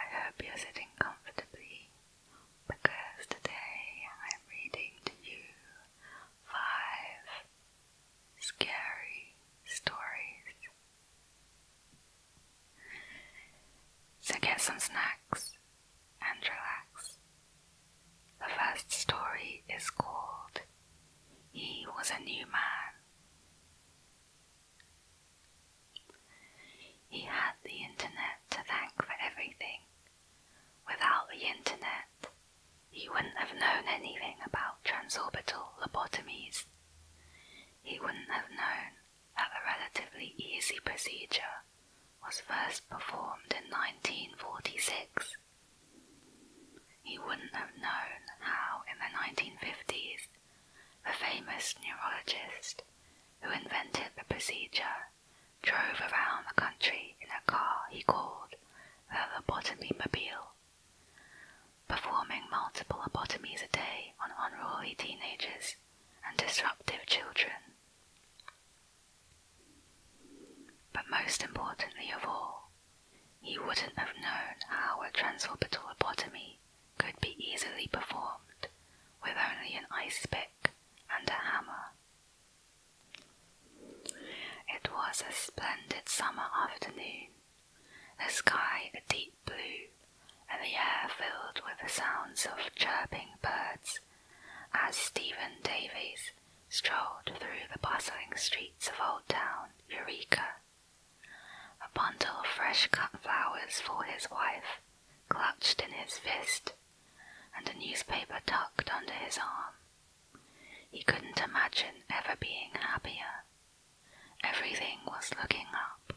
I hope you're sitting comfortably because today I'm reading to you five scary stories. So get some snacks and relax. The first story is called He Was a New Man. He had the internet to thank for everything. Without the internet, he wouldn't have known anything about transorbital lobotomies. He wouldn't have known that a relatively easy procedure was first performed in 1946. He wouldn't have known how, in the 1950s, the famous neurologist who invented the procedure, drove around the country in a car he called the lobotomy mobile, performing multiple lobotomies a day on unruly teenagers and disruptive children. But most importantly of all, he wouldn't have known how a transorbital lobotomy could be easily performed with only an ice pick and a hammer. It was a splendid summer afternoon, the sky a deep blue, and the air filled with the sounds of chirping birds as Stephen Davies strolled through the bustling streets of Old Town Eureka. A bundle of fresh cut flowers for his wife clutched in his fist, and a newspaper tucked under his arm. He couldn't imagine ever being happier. Everything was looking up.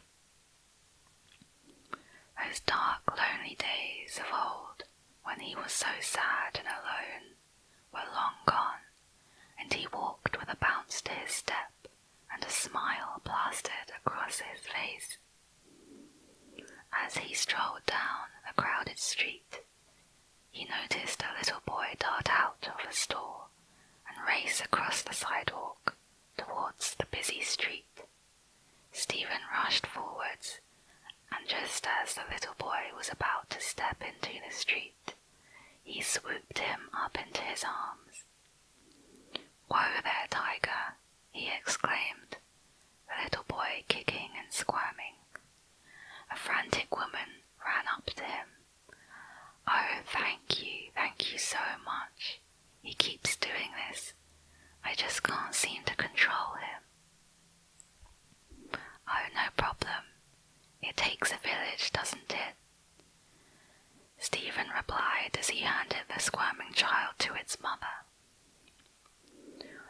Those dark, lonely days of old, when he was so sad and alone, were long gone, and he walked with a bounce to his step, and a smile plastered across his face. As he strolled down the crowded street, he noticed a little boy dart out of a store and race across the sidewalk towards the busy street. Stephen rushed forwards, and just as the little boy was about to step into the street, he swooped him up into his arms Whoa there, tiger! he exclaimed, the little boy kicking and squirming. A frantic woman ran up to him. Oh, thank you, thank you so much. He keeps doing this. I just can't seem to control him. Oh, no problem. It takes a village, doesn't it? Stephen replied as he handed the squirming child to its mother.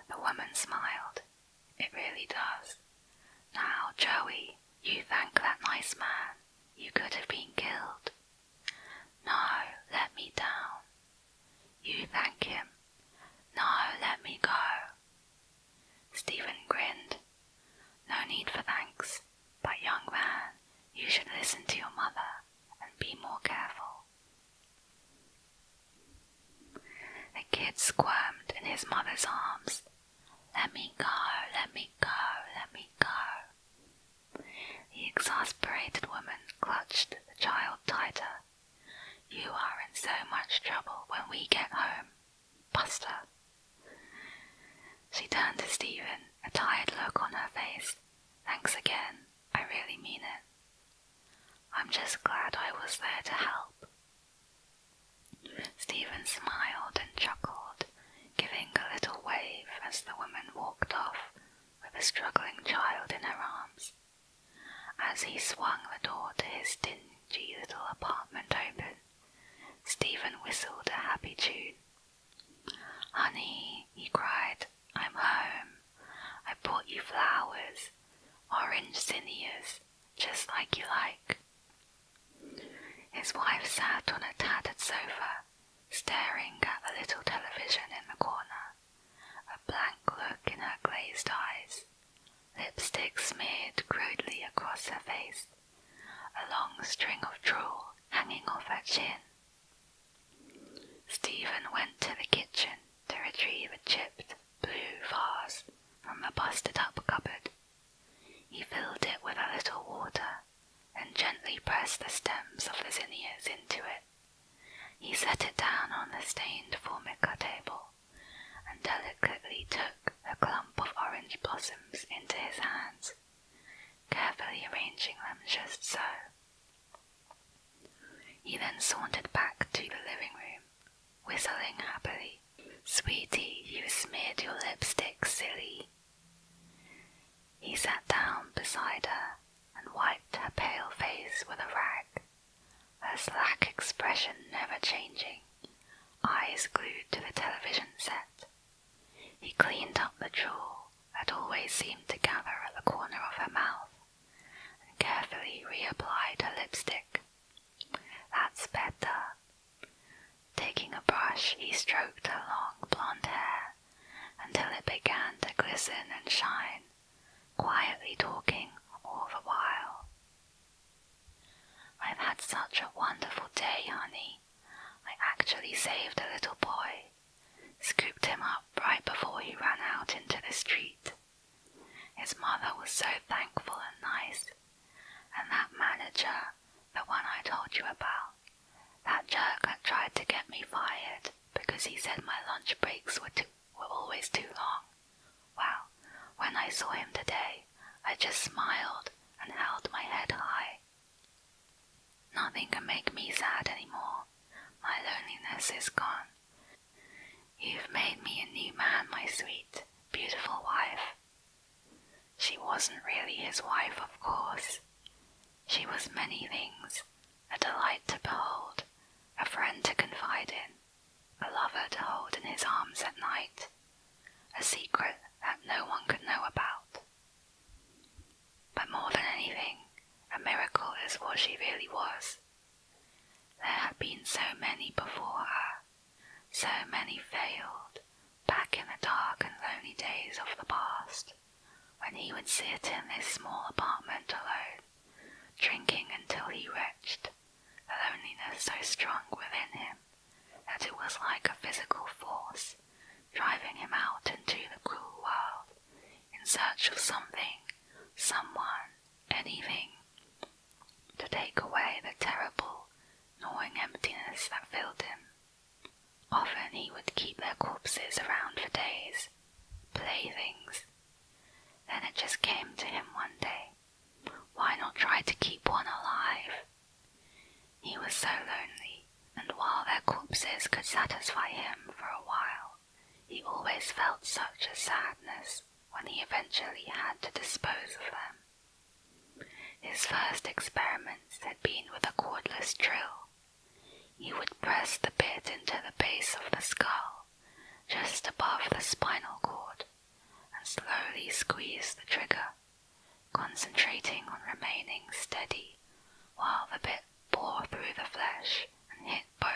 The woman smiled. It really does. Now, Joey, you thank that nice man. You could have been killed. No, let me down. You thank him. No, let me go. Stephen grinned. No need for thanks. But, young man, you should listen to your mother and be more careful. The kid squirmed in his mother's arms. Let me go, let me go, let me go. The exasperated woman clutched the child tighter. You are in so much trouble when we get home, Buster. She turned to Stephen, a tired look on her face, Thanks again, I really mean it. I'm just glad I was there to help. Stephen smiled and chuckled, giving a little wave as the woman walked off with a struggling child in her arms. As he swung the door to his dingy little apartment open, Stephen whistled a happy tune Honey, he cried, I'm home. I brought you flowers, orange zinnias, just like you like. His wife sat on a tattered sofa, staring at the little television in the corner, a blank look in her glazed eyes, lipstick smeared crudely across her face, a long string of drool hanging off her chin, Stephen went to the kitchen to retrieve a chipped blue vase from a busted up cupboard. He filled it with a little water and gently pressed the stems of the zinnias into it. He set it down on the stained formica table and delicately took a clump of orange blossoms into his hands carefully arranging them just so. He then sauntered back to the living room, whistling happily. Sweetie, you smeared your lipstick, silly. He sat down beside her and wiped her pale face with a rag, her slack expression never changing, eyes glued to the television set he cleaned up the drool that always seemed to gather at the corner of her mouth, and carefully reapplied her lipstick. That's better. Taking a brush, he stroked her long blonde hair until it began to glisten and shine, quietly talking all the while. I've had such a wonderful day, honey. I actually saved a little boy scooped him up right before he ran out into the street. His mother was so thankful and nice, and that manager, the one I told you about, that jerk had tried to get me fired because he said my lunch breaks were too, were always too long. Well, when I saw him today, I just smiled and held my head high Nothing can make me sad anymore. My loneliness is gone. You've made me a new man, my sweet, beautiful wife. She wasn't really his wife, of course. She was many things a delight to behold, a friend to confide in, a lover to hold in his arms at night, a secret that no one could know about, but more than anything, a miracle is what she really was. There had been so many before her, so many failed, back in the dark and lonely days of the past, when he would sit in his small apartment alone, drinking until he retched, the loneliness so strong within him that it was like a physical force driving him out into the cruel world in search of something, someone, anything to take away the terrible, gnawing emptiness that filled him. Often he would keep their corpses around for days, playthings. Then it just came to him one day why not try to keep one alive? He was so lonely and while their corpses could satisfy him for a while, he always felt such a sadness when he eventually had to dispose of them. His first experiments had been with a cordless drill. He would press the bit into the base of the skull, just above the spinal cord, and slowly squeeze the trigger, concentrating on remaining steady while the bit bullet bore through the flesh and hit bone.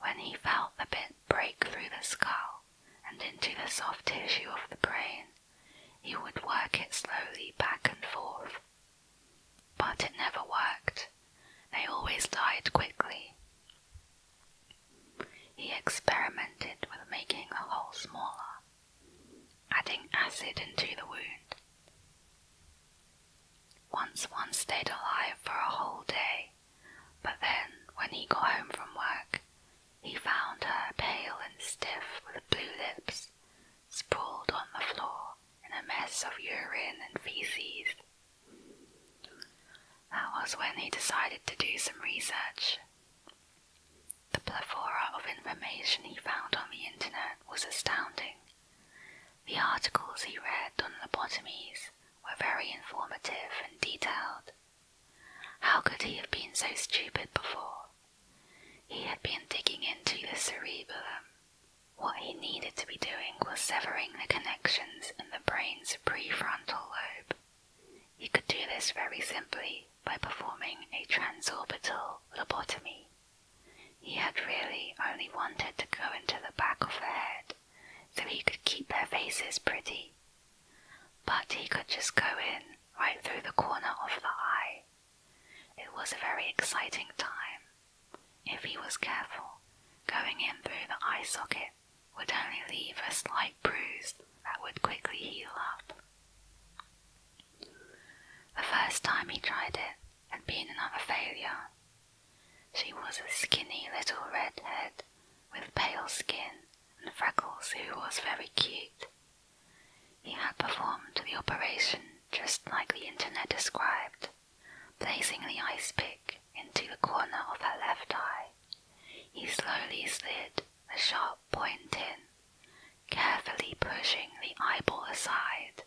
When he felt the bit break through the skull and into the soft tissue of the brain, he would work it slowly back and forth. But it never worked. They always died quickly. He experimented with making the hole smaller adding acid into the wound. Once one stayed alive for a whole day, but then when he got home from work, he found her pale and stiff with blue lips, sprawled on the floor in a mess of urine and feces. That was when he decided to do some research. The plethora of information he found on the internet was astounding. The articles he read on lobotomies were very informative and detailed. How could he have been so stupid before? He had been digging into the cerebellum. What he needed to be doing was severing the connections in the brain's prefrontal lobe. He could do this very simply by performing a transorbital lobotomy. He had really only wanted to go into the back of the head so he could keep their faces pretty. But he could just go in right through the corner of the eye. It was a very exciting time. If he was careful, going in through the eye socket would only leave a slight bruise that would quickly heal up. The first time he tried it, had been another failure. She was a skinny little redhead with pale skin and freckles who was very cute. He had performed the operation just like the internet described, placing the ice pick into the corner of her left eye. He slowly slid the sharp point in carefully pushing the eyeball aside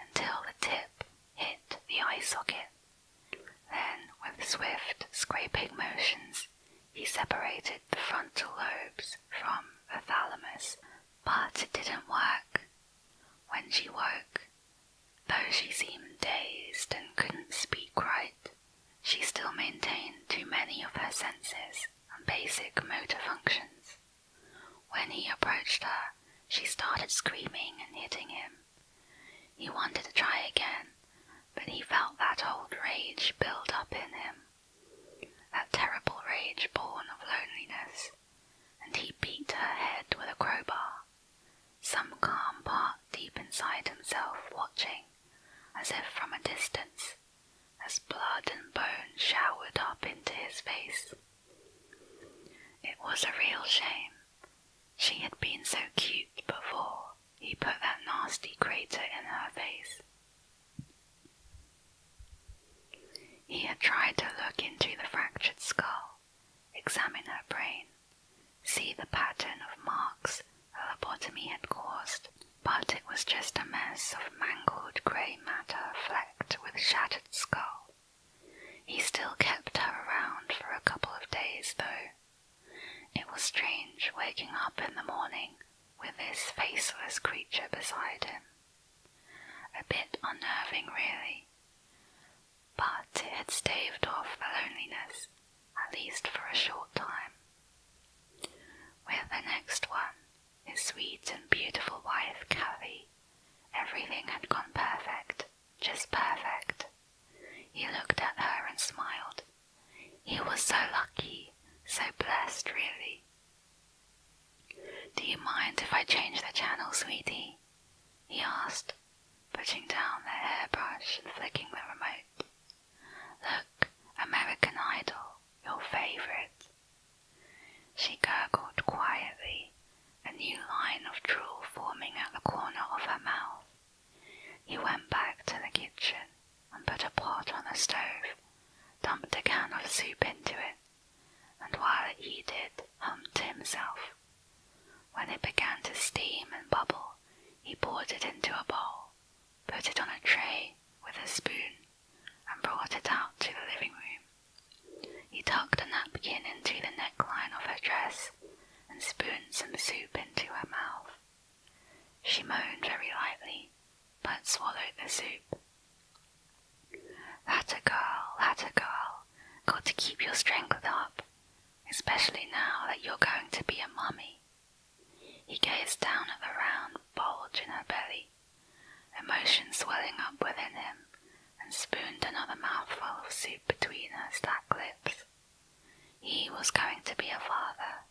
until the tip hit the eye socket. Then, with swift, scraping motions, he separated the frontal lobes from the thalamus. But it didn't work. When she woke, though she seemed dazed and couldn't speak right, she still maintained too many of her senses and basic motor functions. When he approached her, she started screaming and hitting him. He wanted to try again, but he felt that old rage build up in him, that terrible rage born of loneliness, and he beat her head with a crowbar, some calm part deep inside himself watching, as if from a distance, as blood and bone showered up into his face. It was a real shame. She had been so cute before he put that nasty crater in her face. He had tried to look into the fractured skull, examine her brain, see the pattern of marks a lobotomy had caused, but it was just a mess of mangled grey matter flecked with shattered skull. He still kept her around for a couple of days, though. It was strange waking up in the morning with this faceless creature beside him. A bit unnerving, really. But it staved off the loneliness, at least for a short time. With the next one, his sweet and beautiful wife, Kathy. Everything had gone perfect, just perfect. He looked at her and smiled. He was so lucky, so blessed, really. Do you mind if I change the channel, sweetie? he asked, putting down the hairbrush and flicking the remote. Look, American Idol, your favorite. She gurgled quietly, a new line of drool forming at the corner of her mouth. He went back to the kitchen and put a pot on the stove, dumped a can of soup into it, and while it heated, hummed to himself. When it began to steam and bubble, he poured it into a bowl, put it on a tray with a spoon, and brought it out to the living room. He tucked a napkin into the neckline of her dress and spooned some soup into her mouth. She moaned very lightly, but swallowed the soup. That a girl, that a girl, got to keep your strength up, especially now that you're going to be a mummy. He gazed down at the round bulge in her belly Emotion swelling up within him, and spooned another mouthful of soup between her slack lips. He was going to be a father.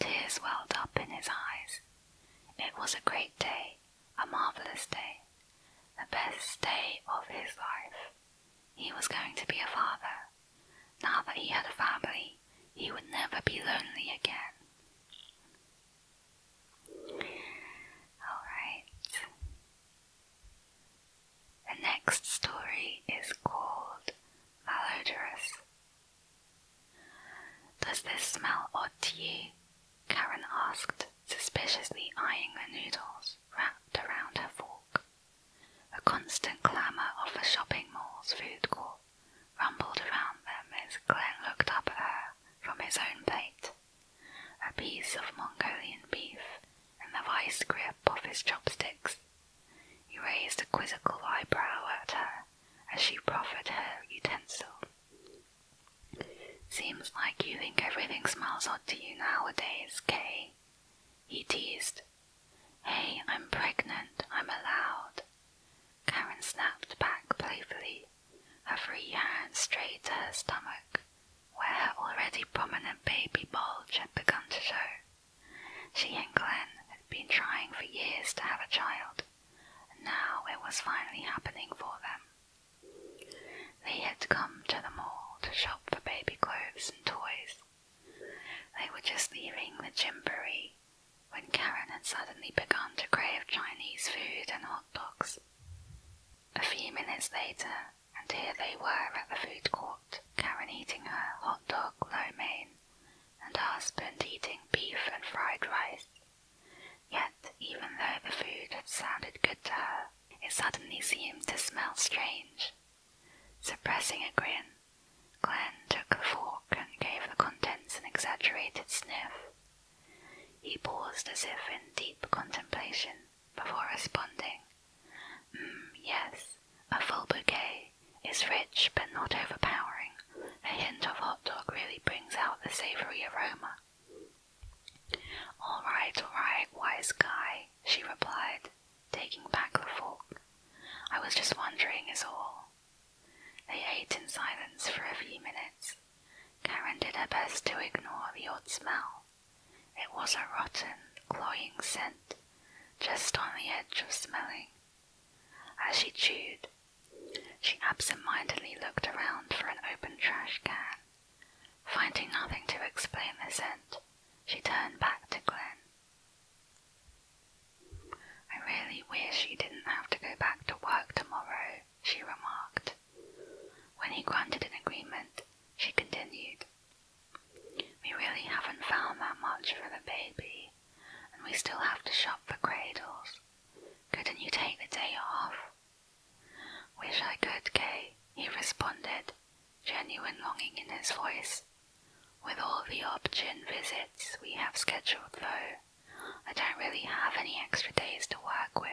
Tears welled up in his eyes. It was a great day, a marvellous day, the best day of his life. He was going to be a father. Now that he had a family, he would never be lonely again. Alright. The next story is called Malodorous. Does this smell odd to you? Karen asked, suspiciously eyeing the noodles wrapped around her fork. A constant clamour of the shopping mall's food court rumbled around them as Glenn looked up at her from his own plate a piece of Mongolian beef in the vice grip of his chopsticks. He raised a quizzical eyebrow at her as she proffered her utensil. Seems like you think everything smells odd to you nowadays, Kay. He teased. Hey, I'm pregnant. I'm allowed. Karen snapped back playfully her free hand strayed to her stomach, where her already prominent baby bulge had begun to show. She and Glenn had been trying for years to have a child, and now it was finally happening for them. They had come to the mall to shop for baby clothes and toys. They were just leaving the gymboree when Karen had suddenly begun to crave Chinese food and hot dogs. A few minutes later, and here they were at the food court, Karen eating her hot dog lo mein, and her husband eating beef and fried rice. Yet, even though the food had sounded good to her, it suddenly seemed to smell strange. Suppressing a grin, Glenn took the fork and gave the contents an exaggerated sniff. He paused as if in deep contemplation, before responding. Mm, yes, a full bouquet is rich but not overpowering. A hint of hot dog really brings out the savory aroma. All right, all right, wise guy, she replied, taking back the fork. I was just wondering, is all. They ate in silence for a few minutes. Karen did her best to ignore the odd smell it was a rotten, cloying scent, just on the edge of smelling. As she chewed, she absent-mindedly looked around for an open trash can. Finding nothing to explain the scent, she turned back to Glenn. I really wish you didn't have to go back to work tomorrow, she remarked. When he granted an agreement, she continued, We really haven't found that much for the baby, and we still have to shop for cradles. Couldn't you take the day off? Wish I could, Kay, he responded, genuine longing in his voice. With all the option visits we have scheduled, though, I don't really have any extra days to work with.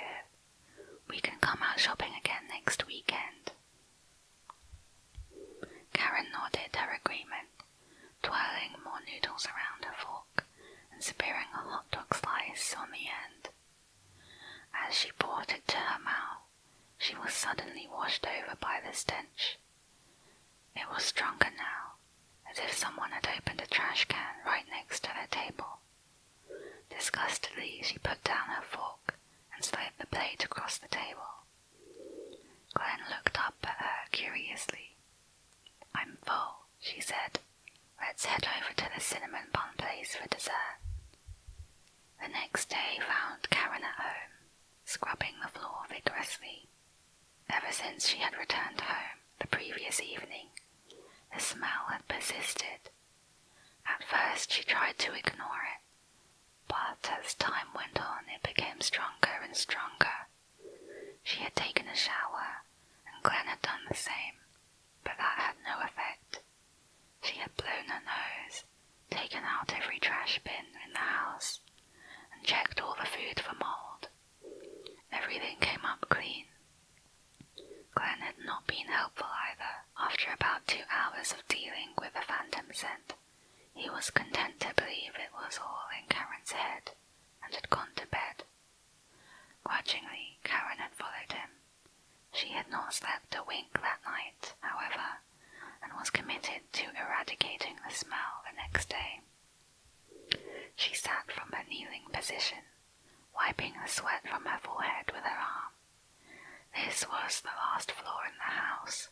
We can come out shopping again next weekend. Karen nodded her agreement, twirling more noodles around her fork and spearing a hot dog slice on the end. As she brought it to her mouth, she was suddenly washed over by the stench. It was stronger now, as if someone had opened a trash can right next to their table. Disgustedly, she put down her fork and slid the plate across the table. Glenn looked up at her curiously. I'm full, she said. Let's head over to the cinnamon bun place for dessert. The next day found Karen at home, scrubbing the floor vigorously. Ever since she had returned home the previous evening, the smell had persisted, at first she tried to ignore it, but as time went on, it became stronger and stronger. She had taken a shower, and Glen had done the same, but that had no effect. She had blown her nose, taken out every trash bin in the house, and checked all the food for mold. Everything came up clean, Glenn had not been helpful either. After about two hours of dealing with a phantom scent, he was content to believe it was all in Karen's head and had gone to bed. Grudgingly, Karen had followed him. She had not slept a wink that night, however, and was committed to eradicating the smell the next day. She sat from her kneeling position, wiping the sweat from her forehead with her arm this was the last floor in the house.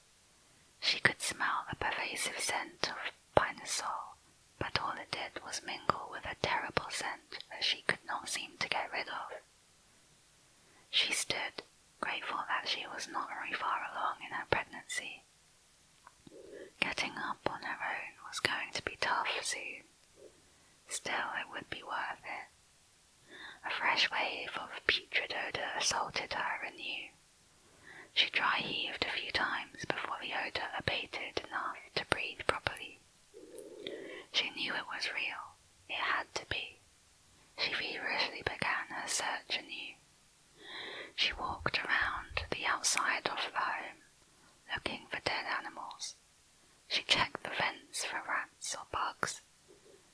She could smell the pervasive scent of pinosol, but all it did was mingle with a terrible scent that she could not seem to get rid of. She stood, grateful that she was not very far along in her pregnancy. Getting up on her own was going to be tough soon. Still, it would be worth it, a fresh wave of putrid odor assaulted her anew. She dry heaved a few times before the odor abated enough to breathe properly. She knew it was real. It had to be. She feverishly began her search anew. She walked around the outside of the home, looking for dead animals, she checked the vents for rats or bugs.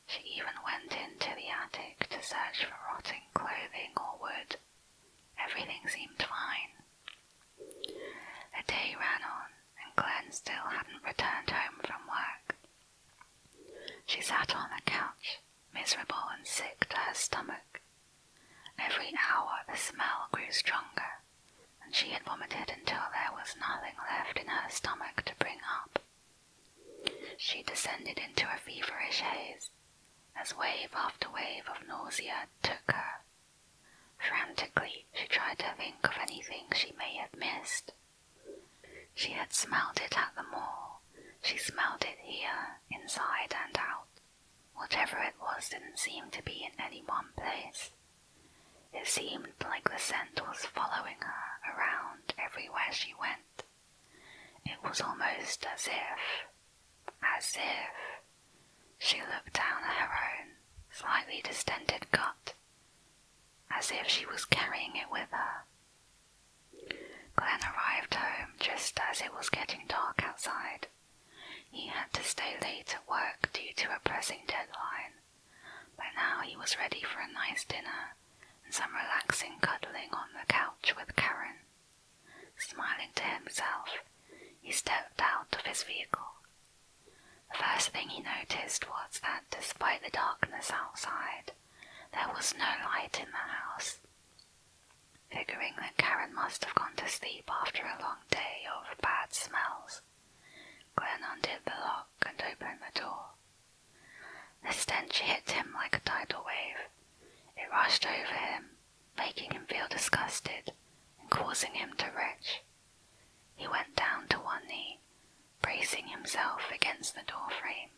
She even went into the attic to search for rotting clothing or wood. Everything seemed fine. The day ran on, and Glenn still hadn't returned home from work. She sat on the couch, miserable and sick to her stomach. Every hour the smell grew stronger and she had vomited until there was nothing left in her stomach to bring up. She descended into a feverish haze as wave after wave of nausea took her. Frantically, she tried to think of anything she may have missed. She had smelled it at the mall. She smelled it here, inside and out. Whatever it was didn't seem to be in any one place. It seemed like the scent was following her around everywhere she went. It was almost as if, as if, she looked down at her own slightly distended gut, as if she was carrying it with her. Glenn arrived home just as it was getting dark outside. He had to stay late at work due to a pressing deadline. By now he was ready for a nice dinner and some relaxing cuddling on the couch with Karen. Smiling to himself, he stepped out of his vehicle. The first thing he noticed was that despite the darkness outside, there was no light in the house. Figuring that Karen must have gone to sleep after a long day of bad smells, Glenn undid the lock and opened the door. The stench hit him like a tidal wave. It rushed over him, making him feel disgusted and causing him to retch. He went down to one knee, bracing himself against the door frame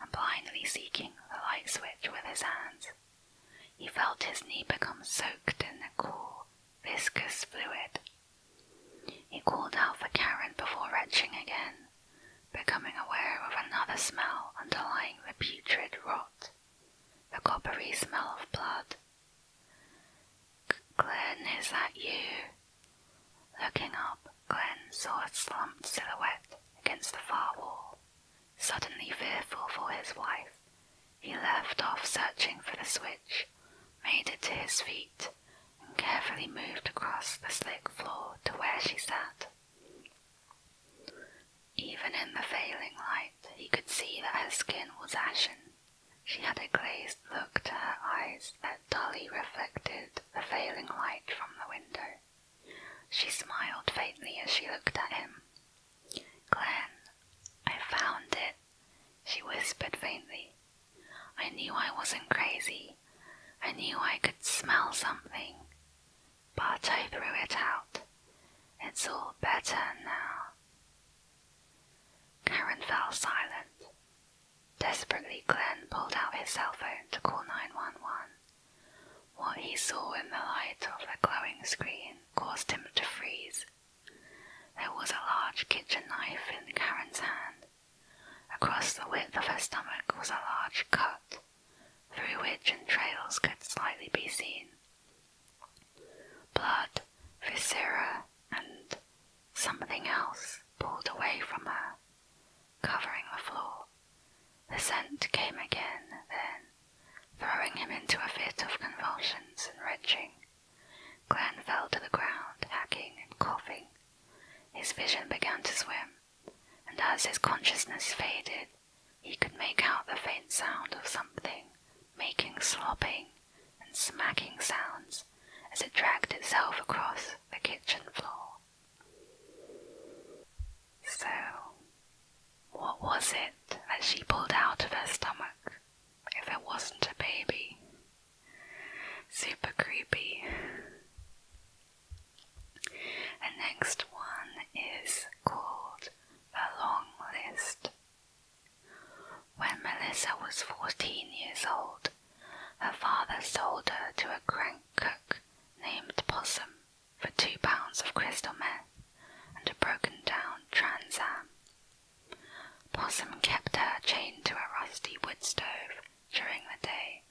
and blindly seeking the light switch with his hands. He felt his knee become soaked in the cool, viscous fluid he called out for Karen before retching again, becoming aware of another smell underlying the putrid rot, the coppery smell of blood. Glenn, is that you? Looking up, Glenn saw a slumped silhouette against the far wall. Suddenly fearful for his wife, he left off searching for the switch, made it to his feet, and carefully moved across the slick floor to where she sat. Even in the failing light, he could see that her skin was ashen. She had a glazed look to her eyes that dully reflected the failing light from the window. She smiled faintly as she looked at him. Glenn, I found it, she whispered faintly. I knew I wasn't crazy. I knew I could smell something. But I threw it out. It's all better now. Karen fell silent. Desperately, Glenn pulled out his cell phone to call 911. What he saw in the light of the glowing screen caused him to freeze. There was a large kitchen knife in Karen's hand, Across the width of her stomach was a large cut, through which entrails could slightly be seen. Blood, viscera, and something else pulled away from her, covering the floor. The scent came again, then, throwing him into a fit of convulsions and retching. Gran fell to the ground, hacking and coughing. His vision began to swim, and as his consciousness faded, he could make out the faint sound of something making slopping and smacking sounds as it dragged itself across the kitchen floor. So, what was it that she pulled out of her stomach if it wasn't a baby? Super creepy. The next one is called The Long List. When Melissa was 14 years old, her father sold her to a crank cook named Possum for two pounds of crystal meth and a broken down Trans Am. Possum kept her chained to a rusty wood stove during the day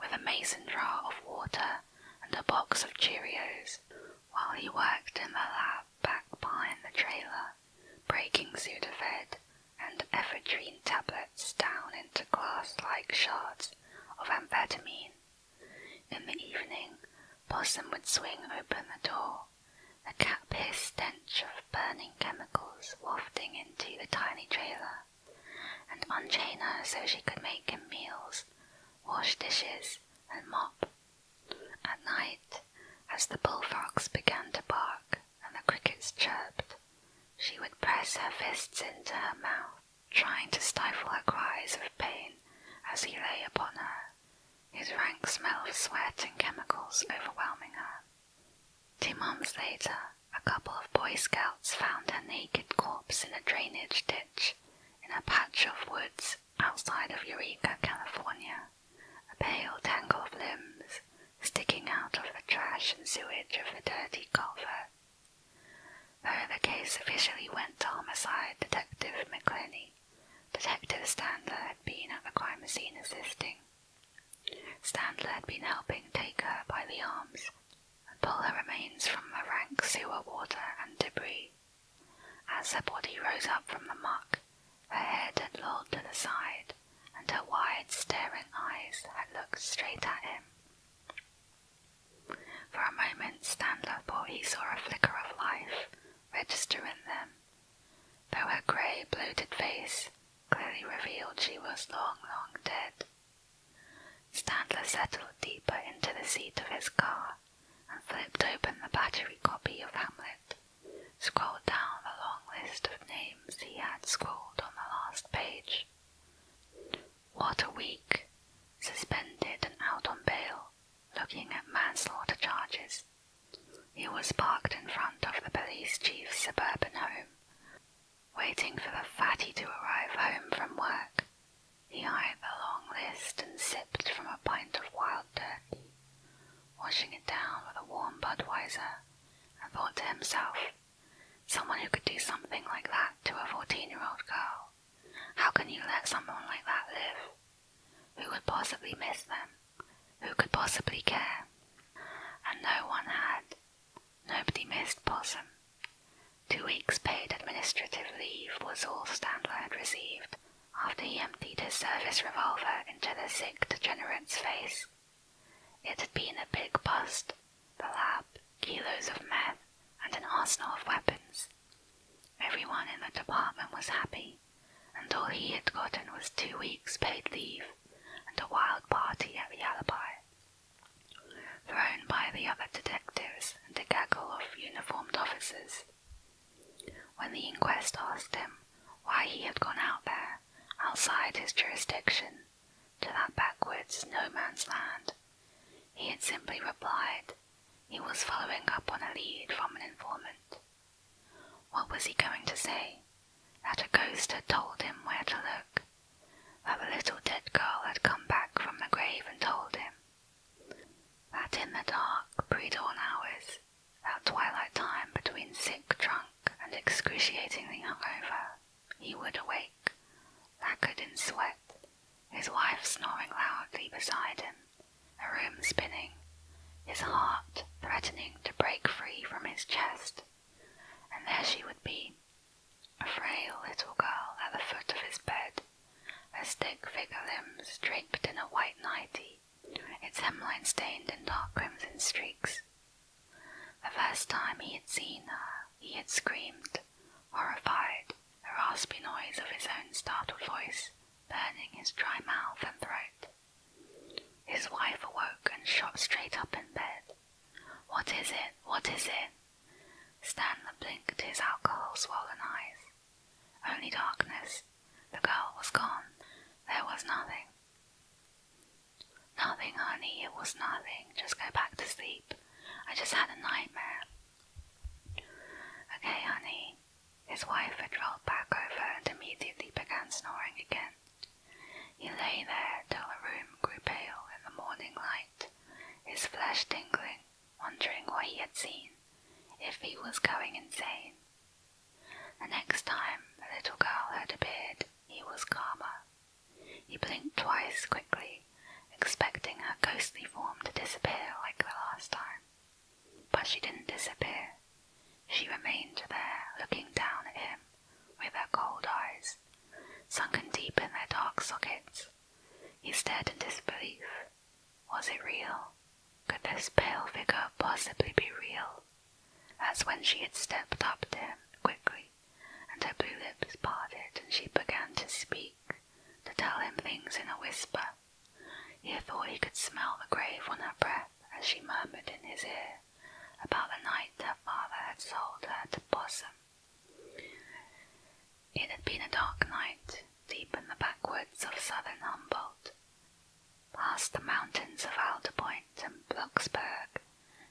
with a mason jar of water and a box of Cheerios while he worked in the lab back behind the trailer, breaking Sudafed and ephedrine tablets down into glass like shards of amphetamine. In the evening, Possum would swing open the door, the cat piss stench of burning chemicals wafting into the tiny trailer and unchain her so she could make him meals, wash dishes, and mop. At night, as the bullfrogs began to bark and the crickets chirped, she would press her fists into her mouth, trying to stifle her cries of pain as he lay upon her, his rank smell of sweat and chemicals overwhelming her. Two months later, a couple of Boy Scouts found her naked corpse in a drainage ditch in a patch of woods outside of Eureka, California, a pale tangle of limbs sticking out of the trash and sewage of the dirty culvert. Though the case officially went to homicide detective McClenny, Detective Standler had been at the crime scene assisting. Standler had been helping take her by the arms and pull her remains from the rank sewer water and debris. As her body rose up from the muck, her head had lolled to the side, and her wide, staring eyes had looked straight at him. For a moment, Standler thought he saw a flicker of life register in them, though her grey, bloated face clearly revealed she was long, long dead. Standler settled deeper into the seat of his car and flipped open the battery copy of Hamlet, scrolled down the long list of names he had scrawled on the last page. What a week! Suspended and out on bail, looking at manslaughter charges. He was parked in front of the police chief's suburban home, Waiting for the fatty to arrive home from work, he eyed the long list and sipped from a pint of wild turkey, washing it down with a warm Budweiser, and thought to himself, someone who could do something like that to a fourteen-year-old girl, how can you let someone like that live? Who could possibly miss them? Who could possibly care? And no one had nobody missed Possum. Two weeks' paid administrative leave was all Standler had received after he emptied his service revolver into the sick degenerate's face. It had been a big bust, the lab, kilos of meth, and an arsenal of weapons. Everyone in the department was happy, and all he had gotten was two weeks' paid leave and a wild party at the alibi thrown by the other detectives and a gaggle of uniformed officers. When the inquest asked him why he had gone out there, outside his jurisdiction, to that backwoods no man's land, he had simply replied he was following up on a lead from an informant. What was he going to say? that a ghost had told him where to look, that a little dead girl had come back from the grave and told him, that in the dark pre-dawn hours, that twilight time between sick drunk and excruciatingly hungover, he would awake, lacquered in sweat, his wife snoring loudly beside him, a room spinning, his heart threatening to break free from his chest, and there she would be, a frail little girl at the foot of his bed, her stick figure limbs draped in a white nightie, its hemline stained in dark crimson streaks. The first time he had seen her, he had screamed, horrified, the raspy noise of his own startled voice burning his dry mouth and throat. His wife awoke and shot straight up in bed. What is it? What is it? Stanley blinked his alcohol swollen eyes. Only darkness. The girl was gone. There was nothing. Nothing, honey, it was nothing. Just go back to sleep. I just had a nightmare. Okay, honey. His wife had rolled back over and immediately began snoring again. He lay there till the room grew pale in the morning light, his flesh tingling, wondering what he had seen, if he was going insane. The next time the little girl had appeared, he was calmer. He blinked twice quickly, expecting her ghostly form to disappear like the last time. But she didn't disappear. She remained there, looking down at him with her cold eyes sunken deep in their dark sockets. He stared in disbelief. Was it real? Could this pale figure possibly be real? As when she had stepped up to him quickly, and her blue lips parted, and she began to speak, to tell him things in a whisper. He thought he could smell the grave on her breath as she murmured in his ear about the night her father had sold her to Bosom. It had been a dark night, deep in the backwoods of southern Humboldt, past the mountains of Alder Point and Blocksberg,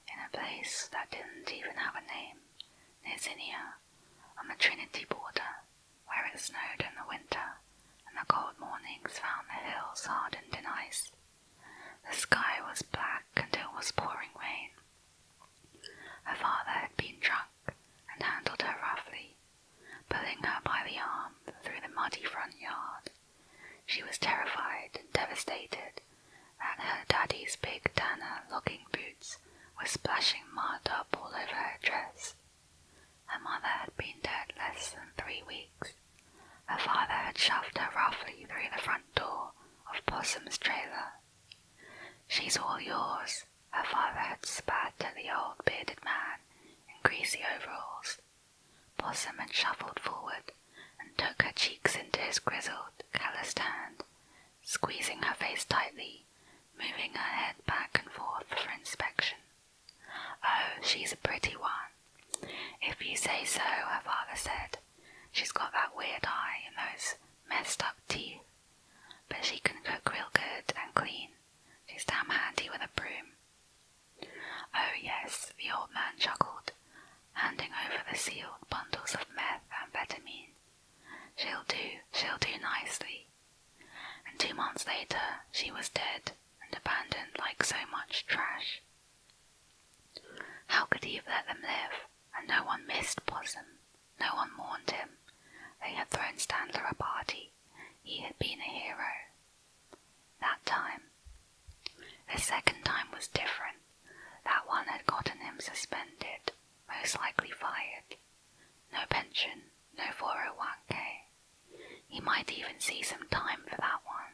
in a place that didn't even have a name, near Zinnia, on the Trinity border, where it snowed in the winter and the cold mornings found the hills hardened in ice. The sky was black and it was pouring rain. Her father had been drunk and handled her roughly, pulling her by the arm through the muddy front yard. She was terrified and devastated that her daddy's big tanner looking boots were splashing mud up all over her dress. Her mother had been dead less than three weeks. Her father had shoved her roughly through the front door of Possum's trailer. She's all yours, her father had spat at the old bearded man in greasy overalls. Possum had shuffled forward and took her cheeks into his grizzled, calloused hand, squeezing her face tightly, moving her head back and forth for inspection. Oh, she's a pretty one. If you say so, her father said, She's got that weird eye and those messed up teeth, but she can cook real good and clean. She's damn handy with a broom. Oh, yes, the old man chuckled, handing over the sealed bundles of meth and amphetamine. She'll do, she'll do nicely. And two months later, she was dead and abandoned like so much trash. How could he have let them live? And no one missed Possum, no one mourned him. They had thrown Standler a party. He had been a hero. That time. The second time was different. That one had gotten him suspended, most likely fired. No pension, no 401k. He might even see some time for that one.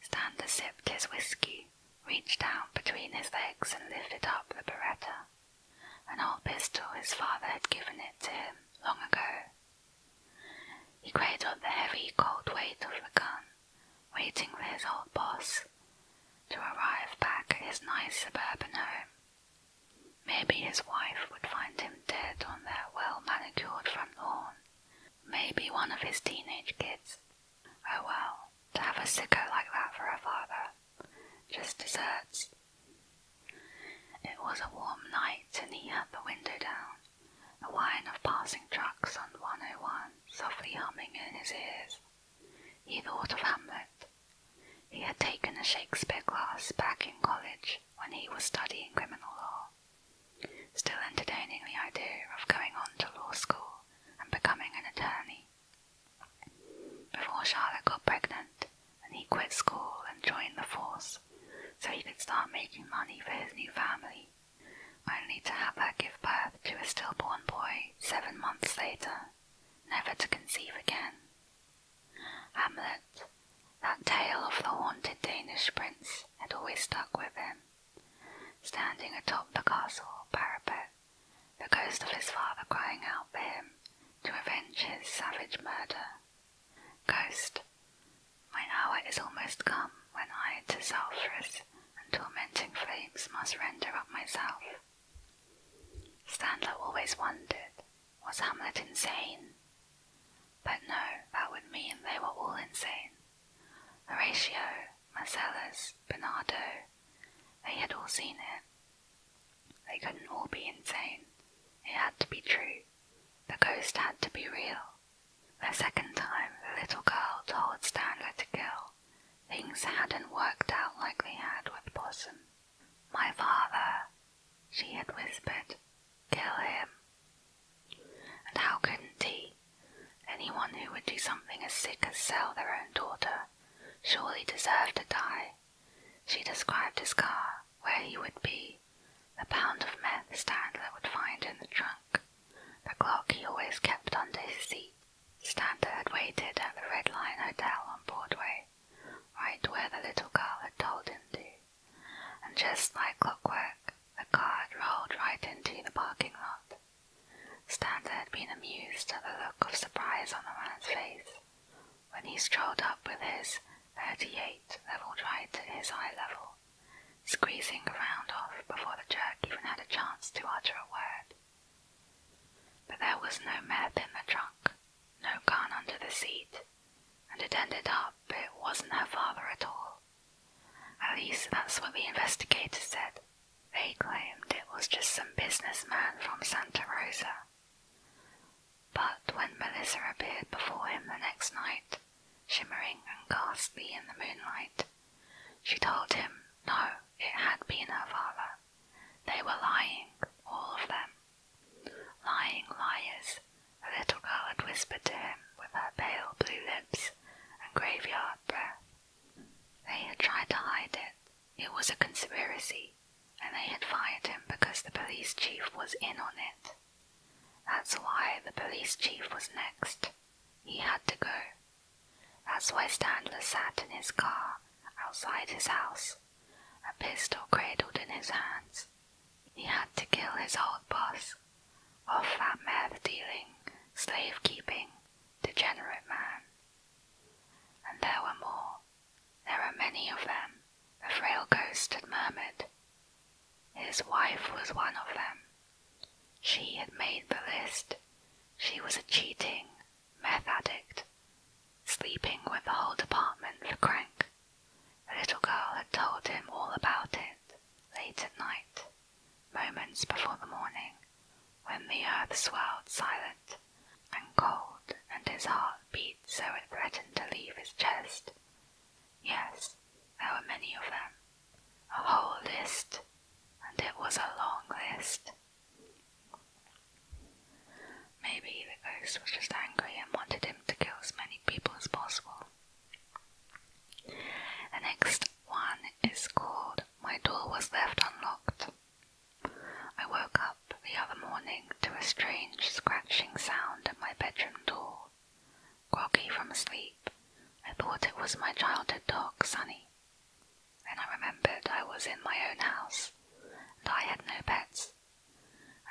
Stander sipped his whiskey reached down between his legs and lifted up the beretta, an old pistol his father had given it to him long ago. He cradled the heavy, cold weight of the gun, waiting for his old boss to arrive back at his nice suburban home. Maybe his wife would find him dead on their well manicured front lawn. Maybe one of his teenage kids Oh well, to have a sicko like that for a father. Just deserts. It was a warm night and he had the window down, the whine of passing trucks on 101 softly humming in his ears. He thought of Hamlet. He had taken a Shakespeare class back in college when he was studying criminal law. Still entertaining the idea of going on to law school and becoming an attorney, before Charlotte got pregnant, and he quit school and joined the force so he could start making money for his new family, only to have her give birth to a stillborn boy seven months later, never to conceive again. Hamlet, that tale of the haunted Danish prince, had always stuck with him, standing atop the castle parapet the ghost of his father crying out for him to avenge his savage murder. Ghost, my hour is almost come when I to sulphurous and tormenting flames must render up myself. Standler always wondered, was Hamlet insane? But no, that would mean they were all insane. Horatio, Marcellus, Bernardo, they had all seen it. They couldn't all be insane. It had to be true. The ghost had to be real. The second time the little girl told Stanley to kill, things hadn't worked out like they had with Possum. My father, she had whispered, kill him. And how couldn't he? Anyone who would do something as sick as sell their own daughter surely deserved to die. She described his car, where he would be, the pound of meth Standler would find in the trunk, the clock he always kept under his seat. Standler had waited at the Red Lion Hotel on Broadway, right where the little girl had told him to, and just like clockwork, the car rolled right into the parking lot. Stanza had been amused at the look of surprise on the man's face when he strolled up with his 38 leveled right at his eye level, squeezing the round off before the jerk even had a chance to utter a word. But there was no meth in the trunk, no gun under the seat, and it ended up it wasn't her father at all. At least that's what the investigators said. They claimed it was just some businessman from Santa Rosa. But when Melissa appeared before him the next night, shimmering and ghastly in the moonlight, she told him no, it had been her father. They were lying, all of them. Lying liars, the little girl had whispered to him with her pale blue lips and graveyard breath. They had tried to hide it, it was a conspiracy, and they had fired him because the police chief was in on it. That's why the police chief was next. He had to go. That's why Standler sat in his car outside his house, a pistol cradled in his hands. He had to kill his old boss, of that meth dealing, slave keeping, degenerate man. And there were more. There are many of them, the frail ghost had murmured. His wife was one of them. She had made the list. She was a cheating meth addict, sleeping with the whole department for crank. The little girl had told him all about it late at night, moments before the morning when the earth swelled silent and cold, and his heart beat so it threatened to leave his chest. Yes, there were many of them, a whole list, and it was a long list. Maybe the ghost was just angry and wanted him to kill as many people as possible. The next one is called My Door Was Left Unlocked. I woke up the other morning to a strange scratching sound at my bedroom door. Groggy from sleep, I thought it was my childhood dog, Sunny. Then I remembered I was in my own house, and I had no pets.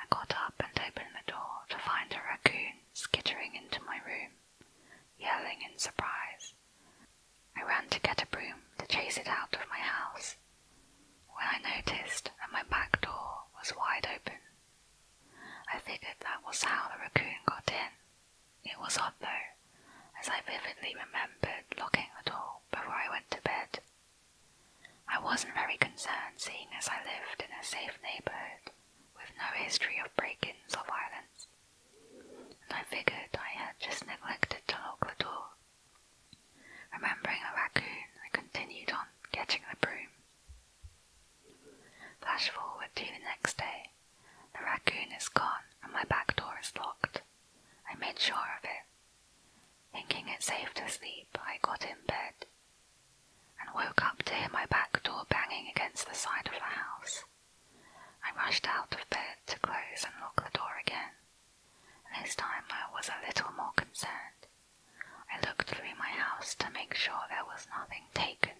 I got up and opened the door to find a raccoon skittering into my room, yelling in surprise. I ran to get a broom to chase it out of my house, when I noticed that my back door was wide open. I figured that was how the raccoon got in. It was odd though, as I vividly remembered locking the door before I went to bed. I wasn't very concerned seeing as I lived in a safe neighbourhood with no history of break-ins or violence. I figured I had just neglected to lock the door. Remembering a raccoon, I continued on getting the broom. Flash forward to the next day. The raccoon is gone and my back door is locked. I made sure of it. Thinking it safe to sleep, I got in bed and woke up to hear my back door banging against the side of the house. I rushed out of bed to close and lock the door again. This time I was a little more concerned. I looked through my house to make sure there was nothing taken,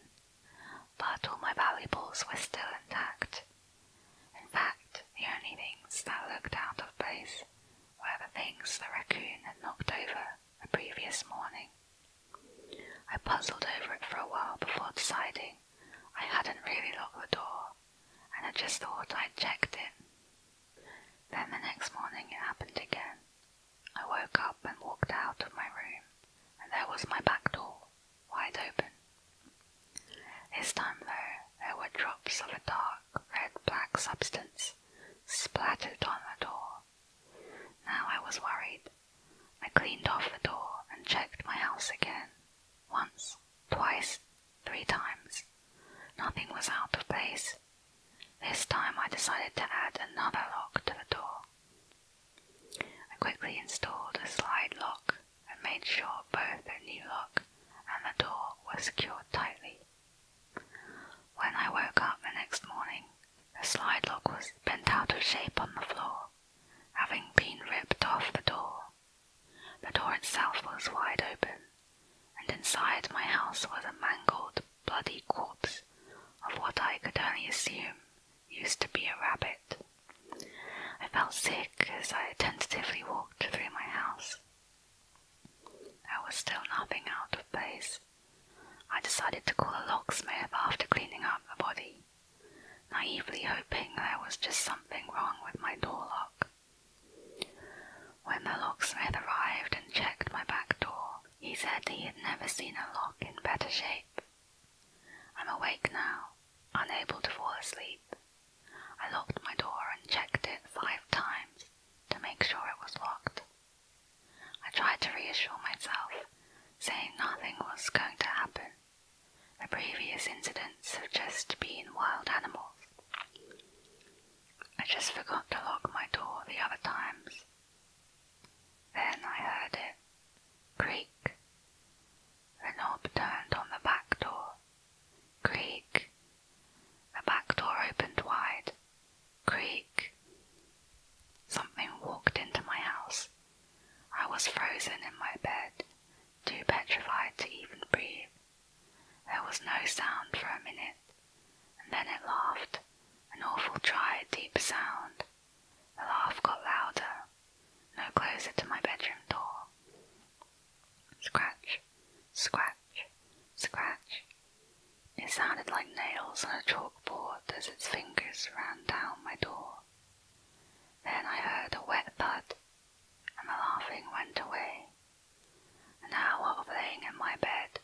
but all my valuables were still intact. In fact, the only things that looked out of place were the things the raccoon had knocked over the previous morning. I puzzled over it for a while before deciding I hadn't really locked the door and I just thought I'd checked it. Then the next morning it happened again. I woke up and walked out of my room, and there was my back door, wide open. This time, though, there were drops of a dark red black substance splattered on the door. Now I was worried. I cleaned off the door and checked my house again, once, twice, three times. Nothing was out of place. This time I decided to add another lock to the door. I quickly installed a slide lock and made sure both the new lock and the door were secured tightly. When I woke up the next morning, the slide lock was bent out of shape on the floor, having been ripped off the door the door itself was wide open, and inside my house was a mangled, bloody corpse of what I could only assume used to be a rabbit. I felt sick as I tentatively walked through my house. There was still nothing out of place. I decided to call a locksmith after cleaning up the body, naively hoping there was just something wrong with my door lock. When the locksmith arrived and checked my back door, he said he had never seen a lock in better shape. I'm awake now, unable to fall asleep. I locked my door and checked it five times to make sure it was locked. I tried to reassure myself, saying nothing was going to happen. The previous incidents have just been wild animals. I just forgot to lock my door the other times. Then I heard it creak. The knob turned on the back door. Creak. The back door opened wide. Creak. Something walked into my house. I was frozen in my bed, too petrified to even breathe. There was no sound for a minute, and then it laughed, an awful dry, deep sound. The laugh got louder, no closer to my bedroom door. Scratch, scratch, scratch. It sounded like nails on a chalkboard as its fingers ran down my door. Then I heard a wet thud and the laughing went away. And now, while laying in my bed,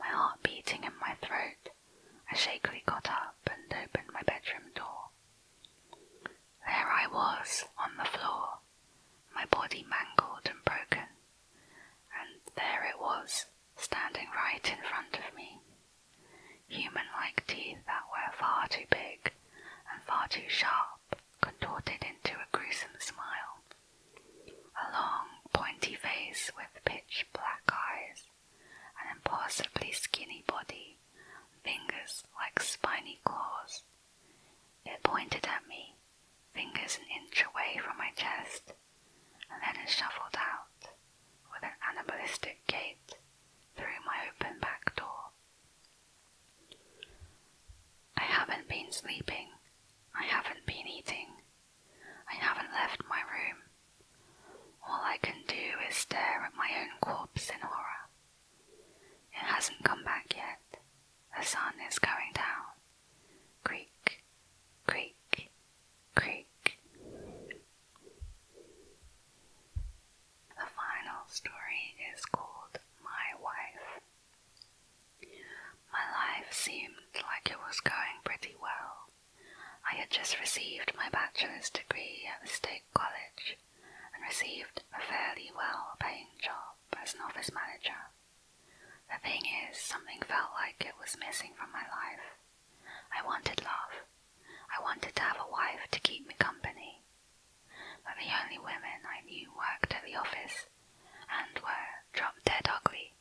my heart beating in my throat, I shakily got up and opened my bedroom door. There I was on the floor, my body mangled and broken, and there it was, standing right in front of me. Human like teeth that were far too big and far too sharp contorted into a gruesome smile. A long, pointy face with pitch black eyes, an impossibly skinny body, fingers like spiny claws. It pointed at me, fingers an inch away from my chest, and then it shuffled out with an animalistic gait through my open back door I haven't been sleeping. I haven't been eating. I haven't left my room. All I can do is stare at my own corpse in horror. It hasn't come back yet. The sun is going down. Creak, creak, creak. The final story is called My Wife. My life seemed like it was going pretty well. I had just received my bachelor's degree at the State College and received a fairly well paying job as an office manager. The thing is, something felt like it was missing from my life. I wanted love. I wanted to have a wife to keep me company but the only women I knew worked at the office and were drop dead ugly.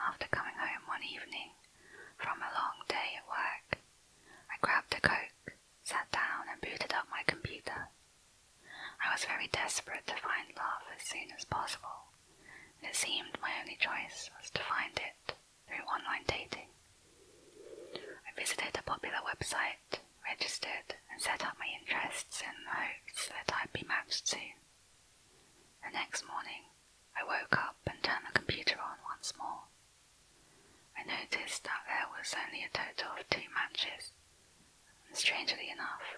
After coming home one evening from a long day at work, I grabbed a Coke, sat down, and booted up my computer. I was very desperate to find love as soon as possible, and it seemed my only choice was to find it through online dating. I visited a popular website registered, and set up my interests in hopes that I'd be matched to. The next morning, I woke up and turned the computer on once more. I noticed that there was only a total of two matches, and strangely enough,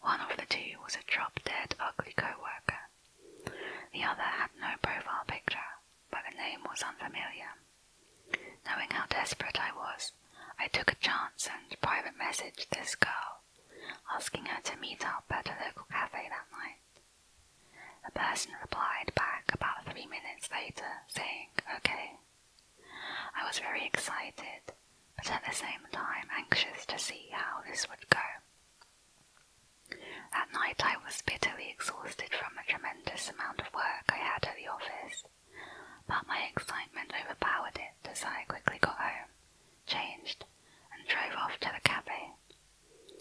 one of the two was a drop dead ugly coworker. The other had no profile picture but the name was unfamiliar. Knowing how desperate I was, I took a chance and private messaged this girl, asking her to meet up at a local cafe that night. The person replied back about three minutes later, saying, Okay. I was very excited, but at the same time anxious to see how this would go. That night I was bitterly exhausted from the tremendous amount of work I had at the office, but my excitement overpowered it as I quickly got home, changed, and drove off to the cafe.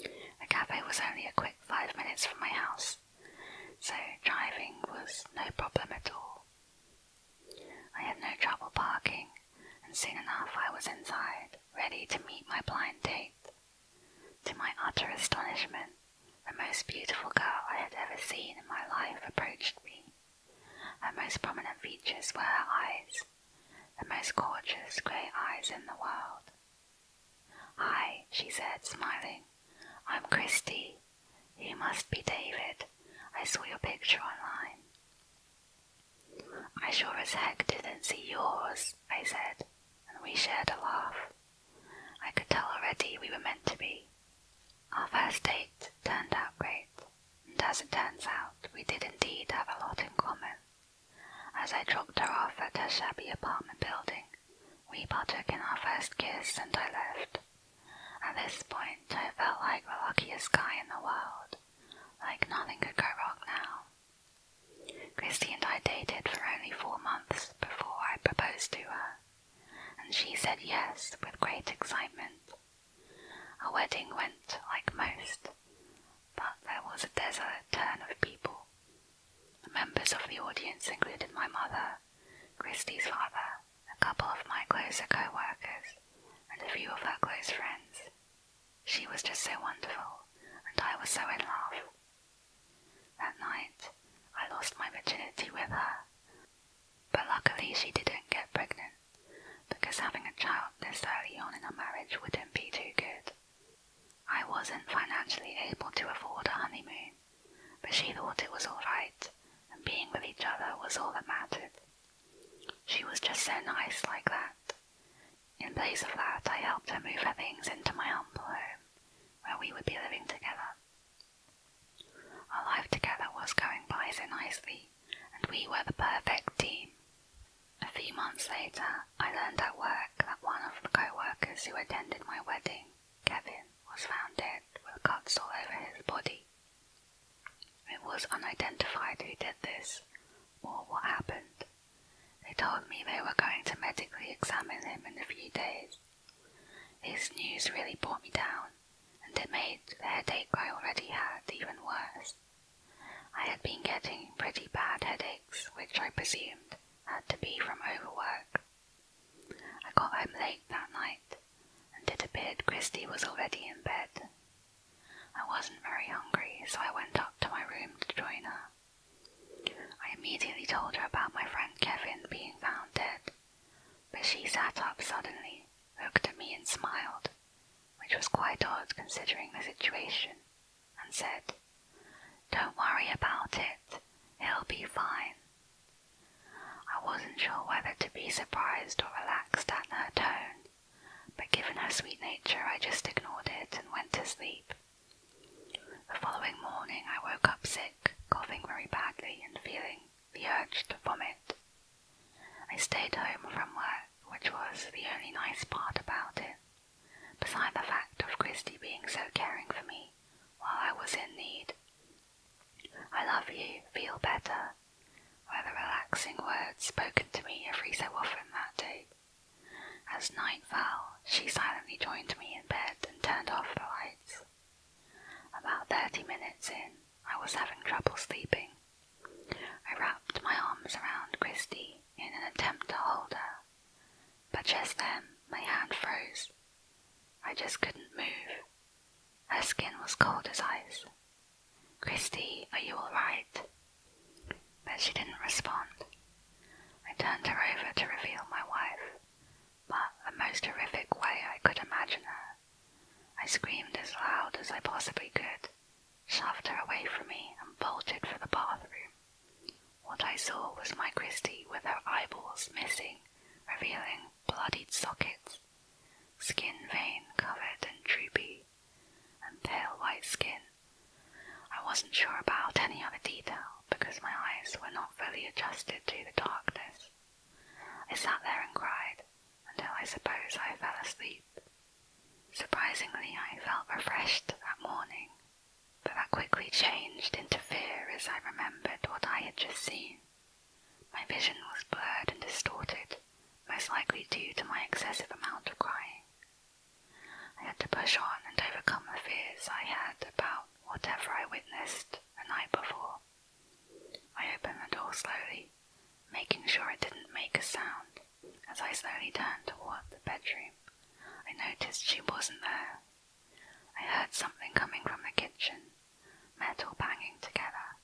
The cafe was only a quick five minutes from my house, so driving was no problem at all. I had no trouble parking, and soon enough I was inside, ready to meet my blind date. To my utter astonishment, the most beautiful girl I had ever seen in my life approached me. Her most prominent features were her eyes, the most gorgeous grey eyes in the world. Hi, she said, smiling. I'm Christy. You must be David. I saw your picture online. I sure as heck didn't see yours, I said, and we shared a laugh. I could tell already we were meant to be. Our first date turned out great, and as it turns out, we did indeed have a lot in common. As I dropped her off at her shabby apartment building, we partook in our first kiss and I left. At this point, I felt like the luckiest guy in the world, like nothing could go wrong now. Christy and I dated for only four months before I proposed to her and she said yes with great excitement. Our wedding went like most, but there was a desolate turn of people. The members of the audience included my mother, Christie's father, a couple of my closer co workers, and a few of her close friends. She was just so wonderful, and I was so in love. That night, I lost my virginity with her, but luckily she didn't get pregnant because having a child this early on in our marriage wouldn't be too good. I wasn't financially able to afford a honeymoon, but she thought it was alright, and being with each other was all that mattered. She was just so nice like that. In place of that, I helped her move her things into my humble home, where we would be living together. Our life together was going by so nicely, and we were the perfect team. A few months later, I learned at work that one of the co workers who attended my wedding, Kevin, was found dead with cuts all over his body. It was unidentified who did this or what happened. They told me they were going to medically examine him in a few days this news really brought me down, and it made the headache I already had even worse. I had been getting pretty bad headaches, which I presumed had to be from overwork. I got home late that night, and it appeared Christie was already in bed. I wasn't very hungry, so I went up to my room to join her. I immediately told her about my friend Kevin being found dead but she sat up suddenly, looked at me and smiled, which was quite odd considering the situation, and said, Don't worry about it, he'll be fine. I wasn't sure whether to be surprised or relaxed at her tone, but given her sweet nature, I just ignored it and went to sleep. The following morning, I woke up sick, coughing very badly, and feeling the urge to vomit. I stayed home from work, which was the only nice part about it, beside the fact of Christy being so caring for me while I was in need. I love you, feel better, were the relaxing words spoken to me every so often that day. As night fell, she silently joined me in bed and turned off the lights. About thirty minutes in, I was having trouble sleeping. I wrapped my arms around Christy in an attempt to hold her, but just then my hand froze. I just couldn't move. Her skin was cold as ice. Christy, are you all right? But she didn't respond. I turned her over to reveal my wife, but the most horrific way I could imagine her. I screamed as loud as I possibly could, shoved her away from me, and bolted for the bathroom. What I saw was my Christie with her eyeballs missing, revealing bloodied sockets, skin vein covered and droopy, and pale white skin. I wasn't sure about any other detail because my eyes were not fully adjusted to the darkness. I sat there and cried until I suppose I fell asleep. Surprisingly, I felt refreshed that morning, but that quickly changed into fear as I remembered what I had just seen. My vision was blurred and distorted, most likely due to my excessive amount of crying. I had to push on and overcome the fears I had about whatever I witnessed the night before. I opened the door slowly, making sure it didn't make a sound. As I slowly turned toward the bedroom, I noticed she wasn't there. I heard something coming from the kitchen, metal banging together.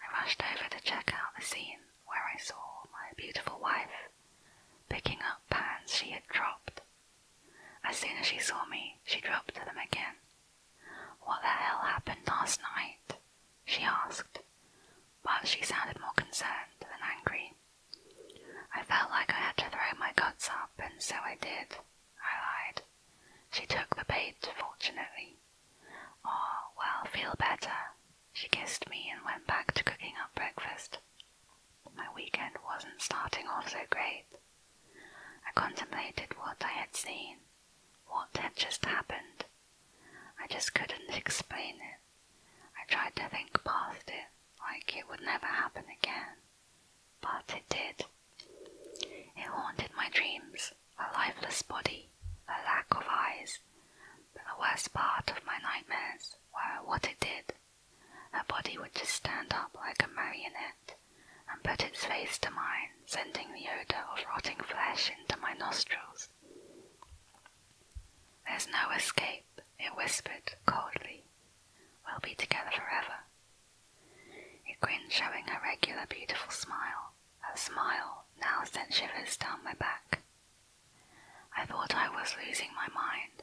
I rushed over to check out the scene where I saw my beautiful wife picking up pans she had dropped. As soon as she saw me, she dropped them again what the hell happened last night? she asked, but she sounded more concerned than angry. I felt like I had to throw my guts up, and so I did, I lied. She took the bait, fortunately. Oh, well, feel better. She kissed me and went back to cooking up breakfast. My weekend wasn't starting off so great. I contemplated what I had seen, what had just happened. I just couldn't explain it. I tried to think past it, like it would never happen again. But it did. It haunted my dreams, a lifeless body, a lack of eyes. But the worst part of my nightmares were what it did. A body would just stand up like a marionette, and put its face to mine, sending the odour of rotting flesh into my nostrils. There's no escape, it whispered coldly. We'll be together forever. It grinned, showing a regular beautiful smile. a smile now sent shivers down my back. I thought I was losing my mind.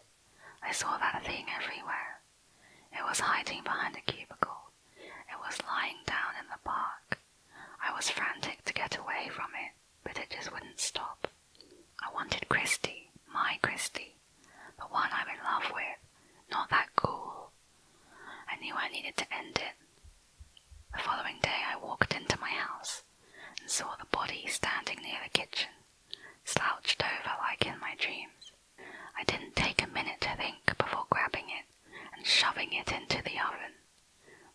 I saw that thing everywhere. It was hiding behind a cubicle. It was lying down in the park. I was frantic to get away from it, but it just wouldn't stop. I wanted Christy, my Christy, the one I'm in love with, not that ghoul. I knew I needed to end it. The following day, I walked into my house and saw the body standing near the kitchen, slouched over like in my dreams. I didn't take a minute to think before grabbing it and shoving it into the oven,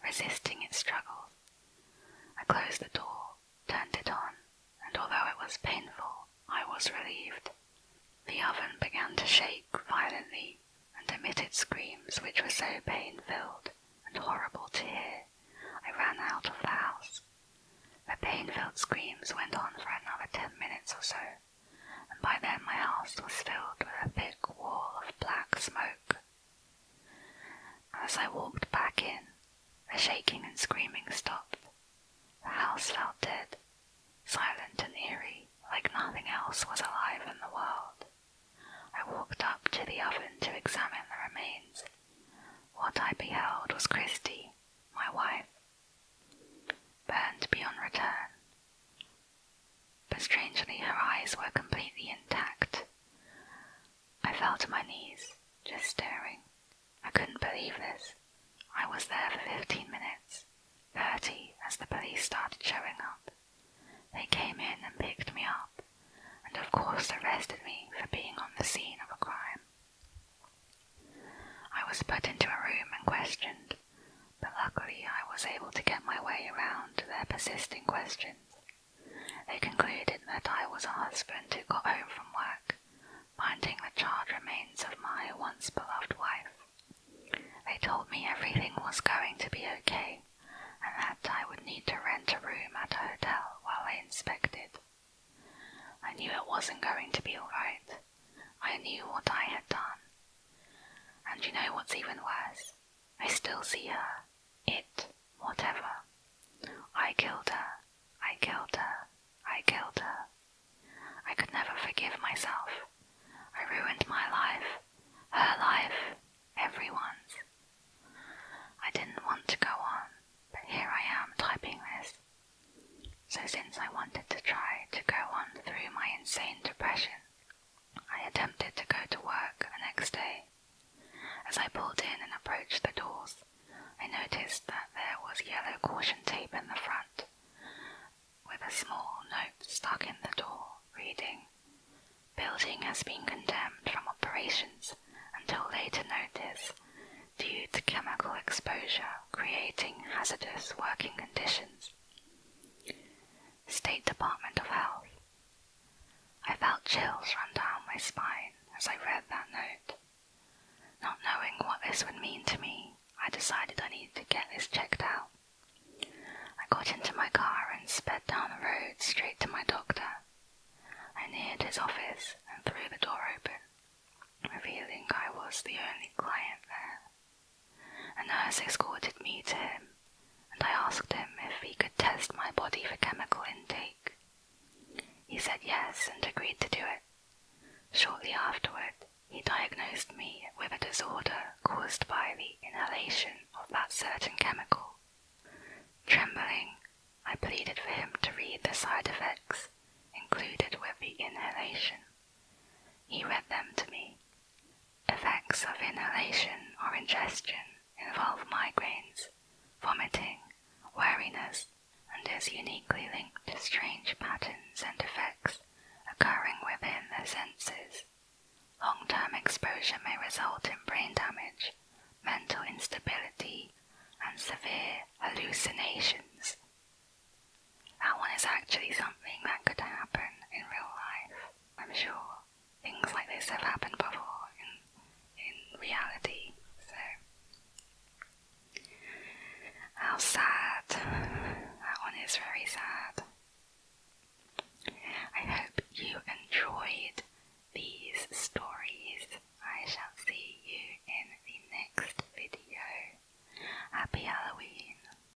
resisting its struggles. I closed the door, turned it on, and although it was painful, I was relieved. The oven began to shake violently and emitted screams which were so pain filled and horrible to hear. I ran out of the house. The pain filled screams went on for another ten minutes or so, and by then my house was filled with a thick wall of black smoke. As I walked back in, the shaking and screaming stopped. The house felt dead, silent and eerie, like nothing else was alive in the world. I walked up to the oven to examine the remains. What I beheld was Christie, my wife, burned beyond return. But strangely, her eyes were completely intact. I fell to my knees, just staring. I couldn't believe this. I was there for fifteen minutes, thirty, as the police started showing up. They came in and picked me up, and of course arrested me for being on the scene of a crime. I was put into a room and questioned but luckily I was able to get my way around their persisting questions. They concluded that I was a husband who got home from work, finding the charred remains of my once beloved wife. They told me everything was going to be okay, and that I would need to rent a room at a hotel while I inspected. I knew it wasn't going to be alright, I knew what I had done. And you know what's even worse? I still see her. It. Whatever. I killed her. I killed her. I killed her. I could never forgive myself. I ruined my life, her life, everyone's. I didn't want to go on, but here I am typing this. So, since I wanted to try to go on through my insane depression, I attempted to go to work the next day. As I pulled in and approached the doors, I noticed that there was yellow caution tape in the front, with a small note stuck in the door reading, Building has been condemned from operations until later notice due to chemical exposure creating hazardous working conditions. State Department of Health. I felt chills run down my spine as I read that note. Not knowing what this would mean to me, I decided I needed to get this checked out. I got into my car and sped down the road straight to my doctor. I neared his office and threw the door open, revealing I was the only client there. A nurse escorted me to him, and I asked him if he could test my body for chemical intake. He said yes and agreed to do it. Shortly afterward, he diagnosed me with a disorder caused by the inhalation of that certain chemical. Trembling, I pleaded for him to read the side effects included with the inhalation. He read them to me, Effects of inhalation or ingestion involve migraines, vomiting, weariness, and is uniquely linked to strange patterns and effects occurring within the senses. Long term exposure may result in brain damage, mental instability, and severe hallucinations. That one is actually something that could happen in real life. I'm sure things like this have happened before in, in reality, so. How sad. That one is very sad. I hope you enjoyed these stories. I shall see you in the next video. Happy Halloween.